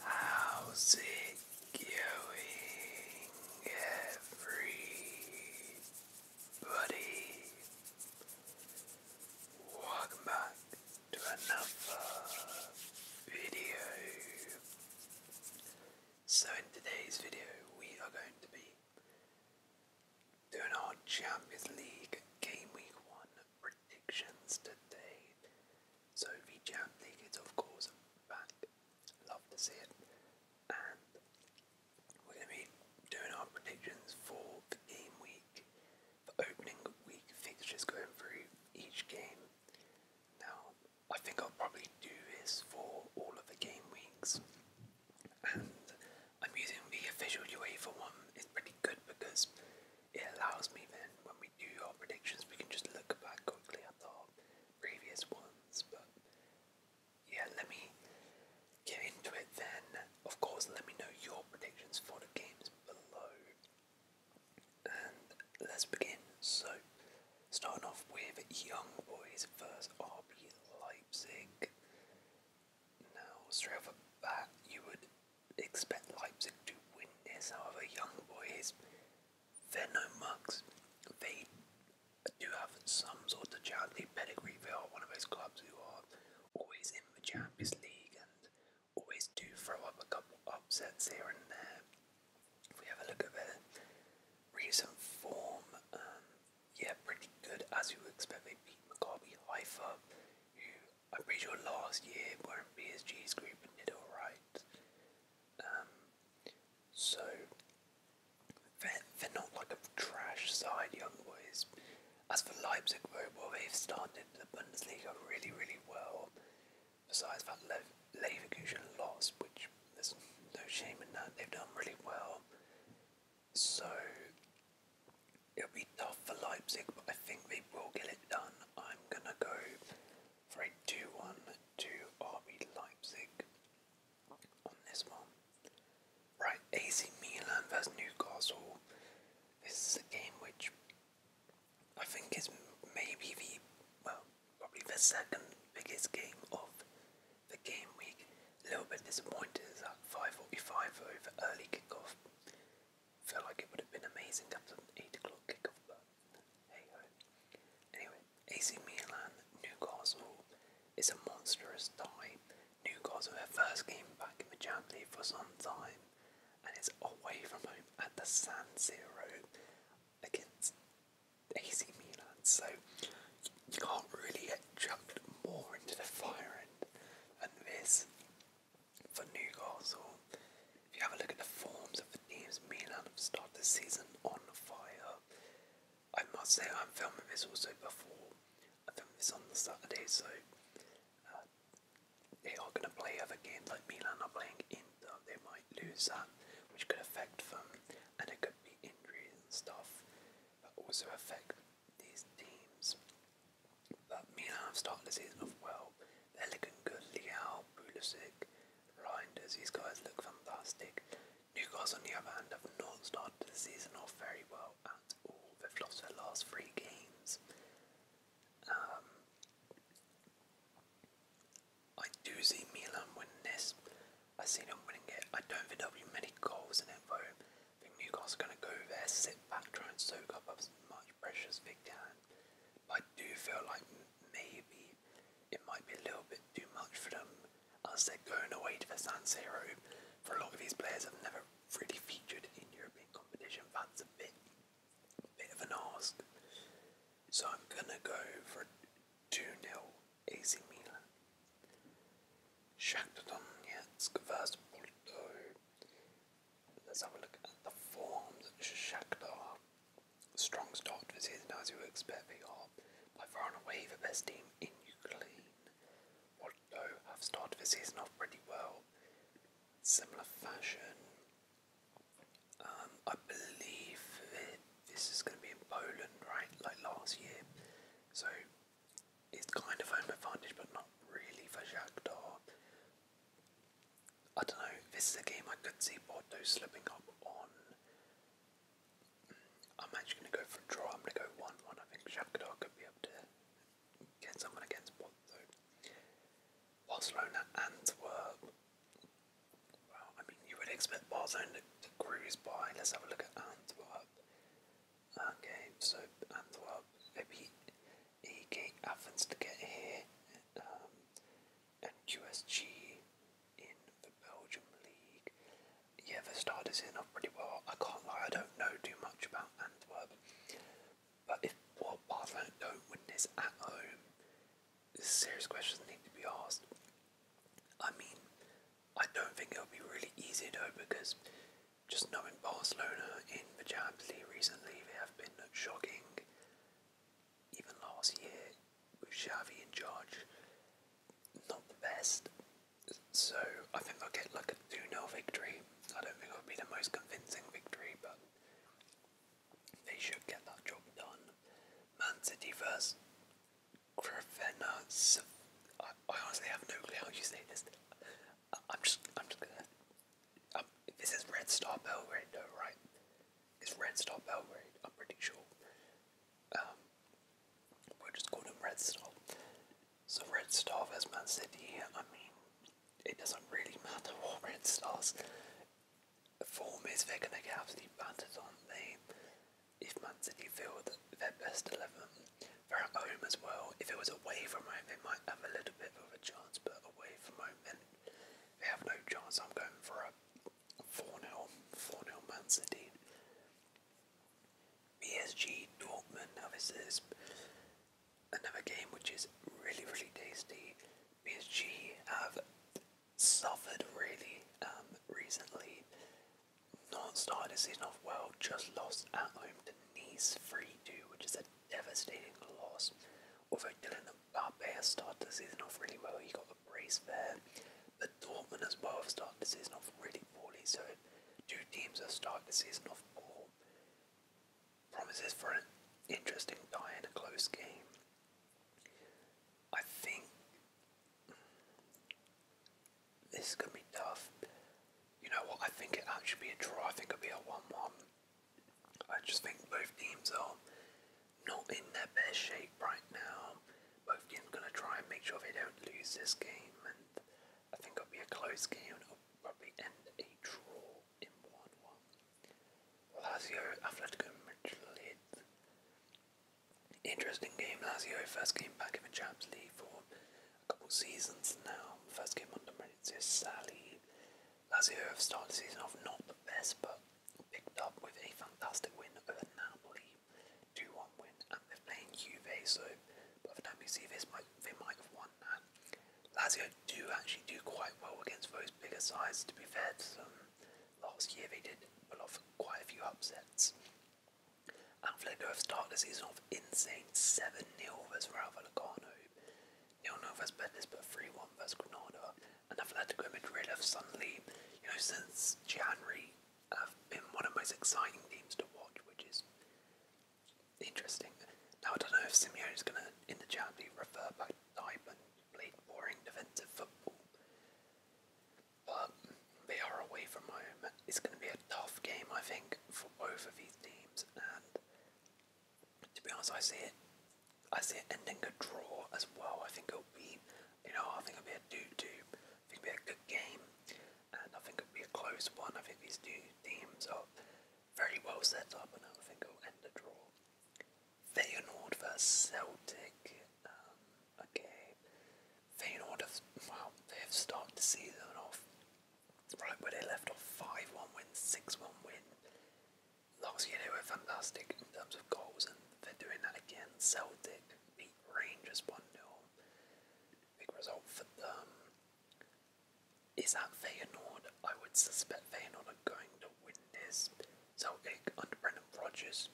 How's it going, everybody? Welcome back to another video. So, in today's video, we are going to be doing our Champions League Game Week 1 predictions today. Sophie Jam is of course back. Love to see it. And we're gonna be doing our predictions for the game week, the opening week fixtures going through each game. Now I think I'll probably do this for all of the game weeks. And I'm using the official UEFA one, it's pretty good because it allows me then, when we do our predictions, we can just look back quickly at our previous ones. But yeah, let me get into it then. Of course, let me know your predictions for the games below. And let's begin. So, starting off with Young Boys vs RB Leipzig. Now, straight off the bat, you would expect Leipzig to win this. However, young boys, they're no mugs. They do have some sort of Champions pedigree. They are one of those clubs who are always in the Champions League and always do throw up a couple of upsets here and there. If we have a look at their recent form, um, yeah, pretty good as you would expect. They beat Maccabi Haifa, I'm pretty sure last year when PSG's group did alright. Um, so, they're, they're not like a trash side, young boys. As for Leipzig, well, they've started the Bundesliga really, really well. Besides that Le- Leverkusen loss, which there's no shame in that, they've done really well. So, It'll be tough for Leipzig, but I think they will get it done. I'm gonna go for a 2 1 to RB Leipzig on this one. Right, AC Milan versus Newcastle. This is a game which I think is maybe the, well, probably the second biggest game of the game week. A little bit disappointed is that 5.45 over early kick off feel like it would have been amazing after an 8 o'clock kickoff, but hey ho. Anyway, AC Milan, Newcastle. It's a monstrous tie. Newcastle, their first game back in the Champions League for some time, and it's away from home at the San Siro against AC Milan. So you can't really get jumped more into the fire end than this for Newcastle. If you have a look at the forms of the teams, Milan have started the season on fire. I must say, I'm filming this also before. I filmed this on the Saturday, so uh, they are going to play other games like Milan are playing Inter. They might lose that, which could affect them, and it could be injuries and stuff but also affect these teams. But Milan have started the season off well. They're looking good. Liao, Pulisic, Reinders, these guys look fantastic. Newcastle, on the other hand, have not started the season off very well at all. They've lost their last three games. Um, I do see Milan winning this. I see them winning it. I don't think there'll be many goals in it though. I think Newcastle are going to go there, sit back, try and soak up as much much pressure as I do feel like maybe it might be a little bit too much for them as they're going away to the San Siro. For a lot of these players have never really featured in European competition. That's a bit, bit of an ask. So I'm gonna go for 2-0 AC Milan. Shakhtar Donetsk versus Porto. Let's have a look at the forms. Shakhtar, strong start to the season as you would expect. They are by far and away the best team in Ukraine. Although have started the season off pretty well, similar fashion. Um, I believe that this is going to be in Poland, right? Like last year, so it's kind of an advantage, but not really for Shakhtar. I don't know, this is a game I could see Porto slipping up on. Mm, I'm actually going to go for a draw. I'm going to go 1 1. I think Shakhtar could be able to get someone against Porto. Barcelona and Antwerp. Well, I mean, you would expect Barcelona to cruise by. Let's have a look at Antwerp. Okay, so Antwerp, they he happens to get here um, and USG in the Belgium League. Yeah, the starters in are pretty well. I can't lie, I don't know too much about Antwerp. But if well, Barcelona don't win this at home, serious questions need to be asked. I mean, I don't think it'll be really easy though because just knowing Barcelona in the Champions recently, they have been shocking. Even last year, with Xavi in charge, not the best. So I think I'll get like a 2 0 victory. I don't think it'll be the most convincing victory, but they should get that job done. Man City versus Crevena. I honestly have no clue how you say this. I'm just, I'm just gonna um, this is Red Star Belgrade, right? It's Red Star Belgrade, I'm pretty sure. Um, we'll just call them Red Star. So, Red Star versus Man City, I mean, it doesn't really matter what Red Star's form is, they're going to get absolutely battered on. They, if Man City field their best 11, they're at home as well. If it was away from home, they might might have a little bit of a chance, but away from home, then they have no chance. I'm going for a 4 0, 4 0 Man City. PSG Dortmund, now this is another game which is really, really tasty. PSG have suffered really um, recently. Not started the season off well, just lost at home to Nice 3 2, which is a devastating loss. Although Dylan Barbear started the season off really well, he got a brace there. But Dortmund as well have started the season off really poorly, so two teams have started the season off poor. Promises for an interesting tie and a close game. I think this is going to be tough. You know what? I think it actually be a draw. I think it'll be a 1 1. I just think both teams are not in their best shape right now. Both teams are going to try and make sure they don't lose this game, and I think it'll be a close game. It'll probably end in a draw in 1 1. Lazio, Atletico Madrid. Interesting game, Lazio, first came back in the Champions League for a couple seasons now. First game under Maurizio Sally. Lazio have started the season off not the best, but picked up with a fantastic win over Napoli, 2-1 win, and they're playing Juve, so by the time you see this, they might have won that. Lazio do actually do quite well against those bigger sides, to be fair Last year they did pull off quite a few upsets. Atletico have started the season off insane 7 nil versus Rayo Vallecano. Nil nil versus Betis, but three one versus Granada. And I've had to go Madrid suddenly, you know, since January, have been one of the most exciting teams to watch, which is interesting. Now I don't know if Simeone is going to in the Champions refer back to type play boring defensive football, but they are away from home. It's going to be a tough game, I think, for both of these teams, to be honest, I see it. I see it ending a draw as well. I think it'll be, you know, I think it'll be a do-do. think it'll be a good game, and I think it'll be a close one. I think these two teams are very well set up, and I think it'll end a draw. Feyenoord versus Celtic. Um, okay, Feyenoord have well, they have started the season off Right where they left off, 5 1 win, 6 1 win. Last year they were fantastic in terms of goals, and they're doing that again. Celtic beat Rangers 1 0. Big result for them. Is that Feyenoord? I would suspect Feyenoord are going to win this. Celtic under Brendan Rodgers,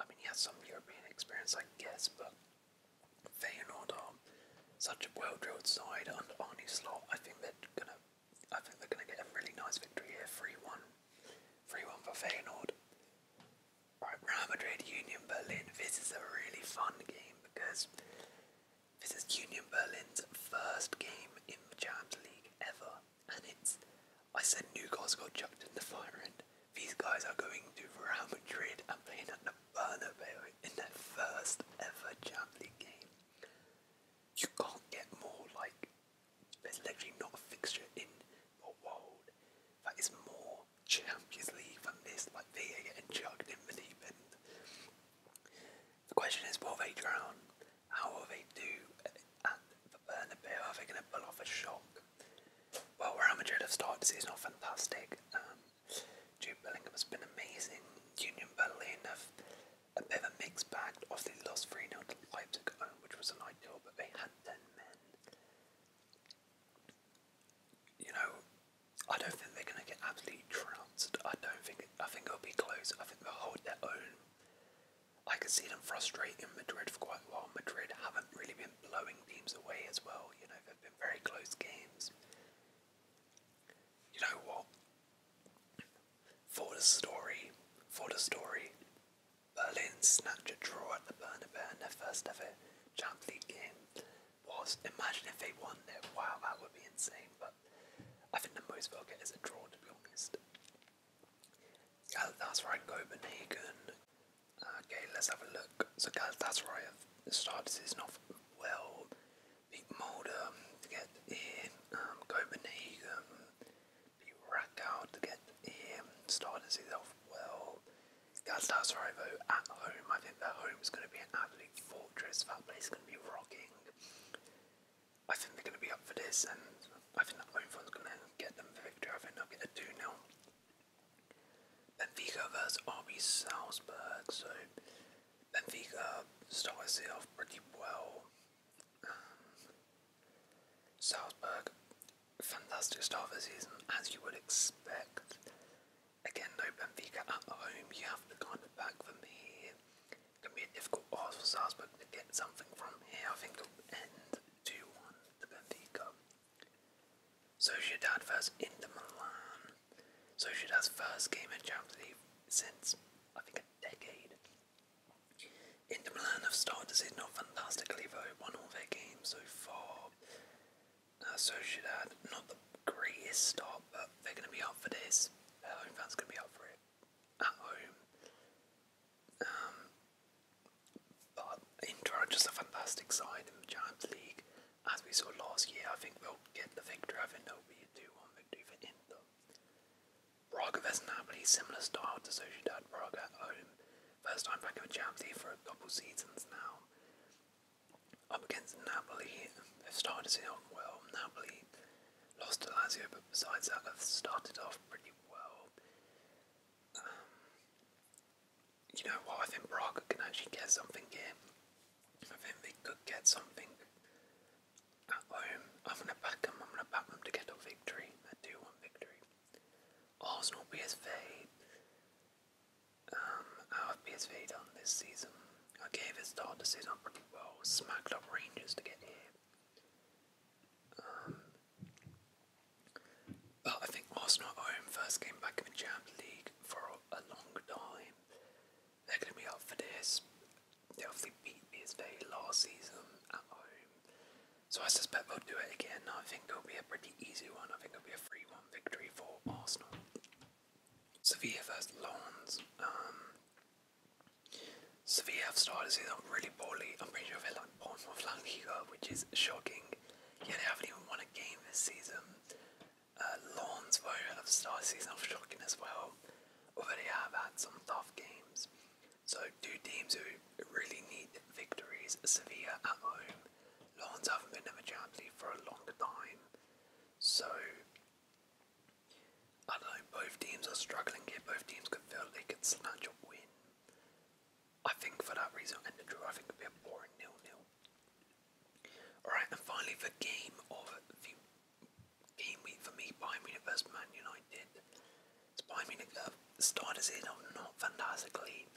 I mean, he has some European experience, I guess, but Feyenoord are such a well-drilled side under Arnie Slot. I think they're gonna, I think they're gonna get a really nice victory here, three-one, three-one for Feyenoord. Right, Real Madrid, Union Berlin. This is a really fun game because this is Union Berlin's first game in the Champions League ever, and it's. I said New Newcastle got chucked in the fire and These guys are going to Real Madrid and playing at the Bernabeu in their first ever Champions League You can't get more like there's literally not a fixture in the world that is more Champions League than this. Like they are getting chugged in the deep end. The question is, will they drown? How will they do And the Bernabeu? Are they going to pull off a shock? Well, Real Madrid have started the season off fantastic. Um, Joe Bellingham has been amazing. Union Berlin enough. a bit of a mixed bag. of the lost 3 0 to Leipzig which was an ideal, but they had 10 men. You know, I don't think they're going to get absolutely trounced. I don't think, I think it'll be close. I think they'll hold their own. I can see them frustrating Madrid for quite a while. Madrid haven't really been blowing teams away as well. You know, they've been very close games you know what? For the story, for the story, Berlin snatched a draw at the Bernabeu in their first ever Champions League game. Was imagine if they won it. Wow, that would be insane. But I think the most they'll get is a draw, to be honest. That's right, Copenhagen. Okay, let's have a look. So that's Galatasaray have started This season off well beat Mulder to get in um, Copenhagen, beat Rakow to get in, started his off well. Galatasaray though, at home, I think their home is going to be an absolute fortress, that place is going to be rocking. I think they're going to be up for this and I think that home front's going to get them the victory, I think they'll get a 2-0. Vigo versus RB Salzburg, so Benfica start off pretty well. Um, Salzburg, fantastic start of the season as you would expect. Again, no Benfica at home, you have to kind of back them here. It can be a difficult pass for Salzburg to get something from here. I think 2 1 to Benfica. Sociedad versus Inter Milan. So, Sociedad's first game in Champions League since, I think, a decade. Inter Milan have started the season off fantastically though, won all their games so far. So, Uh, Sociedad, not the greatest start, but they're going to be up for this. home fans going to be up for it at home. Um, but Inter are just a fantastic side in the Champions League as we saw last year, I think we'll get the victory. I think it'll 1 victory for Inter. Braga vs Napoli, similar style to Sociedad Braga at home. First time back in the Champions for a couple seasons now. Up against Napoli, they've started off well. Napoli lost to Lazio, but besides that, have started off pretty well. Um, you know what? I think Braga can actually get something here. I think they could get something at home. I'm going to back them. I'm going to back them to get a victory. I do want victory. Arsenal PSV. Um, how have PSV done this season? I gave it start the season pretty well. Smacked up Rangers to get here. Um, but I think Arsenal home, first came back in the Champions League for a long time they're going to be up for this. They obviously beat me this BSV last season at home, so I suspect they'll do it again. I think it'll be a pretty easy one. I think it'll be a 3 1 victory for Arsenal. Sevilla versus Lons. Um, Sevilla have started the season really poorly. I'm pretty sure they're like Bournemouth La Flanquiga, which is shocking. Yeah, they haven't even won a game this season. Uh, Lawns of have started season off shocking as well. they have had some tough games. So two teams who really need victories, Severe at home. Lawns haven't been in the Champions League for a longer time. So I don't know, both teams are struggling here, both teams could feel they could snatch a win. I think for that reason and the draw I think it'd be a boring nil-nil. Alright, and finally the game of game week for me, Bayern Munich versus Man United. It's Bayern Munich uh, starters in are not fantastically,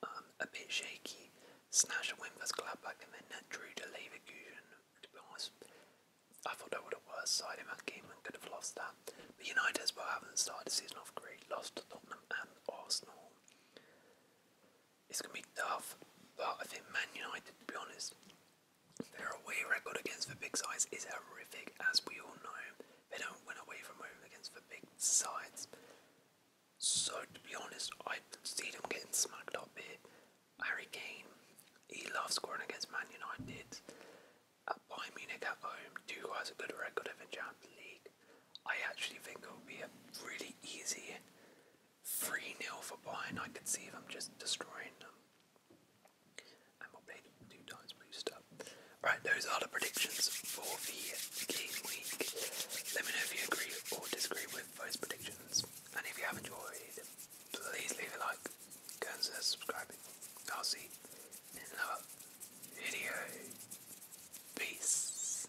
um, a bit shaky. Snatch a win versus Gladbach and then that drew to Leverkusen. I thought I would the worst side in that game and could have lost that. But United as well haven't started the season off great, lost to Tottenham and Arsenal. It's going to be tough, but I think Man United, to be honest, their away record against the big sides is horrific, as we all know. They don't win away from home against the big sides. So, to be honest, I see them getting smacked up here. Harry Kane, he loves scoring against Man United. At Bayern Munich at home, two has a good record of the Champions League. I actually think it will be a really easy 3 0 for Bayern. I can see I'm just destroying them. And we'll two times boost up. Right, those are the predictions for the game week. Let me know if you agree or disagree with those predictions. And if you have enjoyed, please leave a like, consider subscribing. I'll see you in another video. Peace.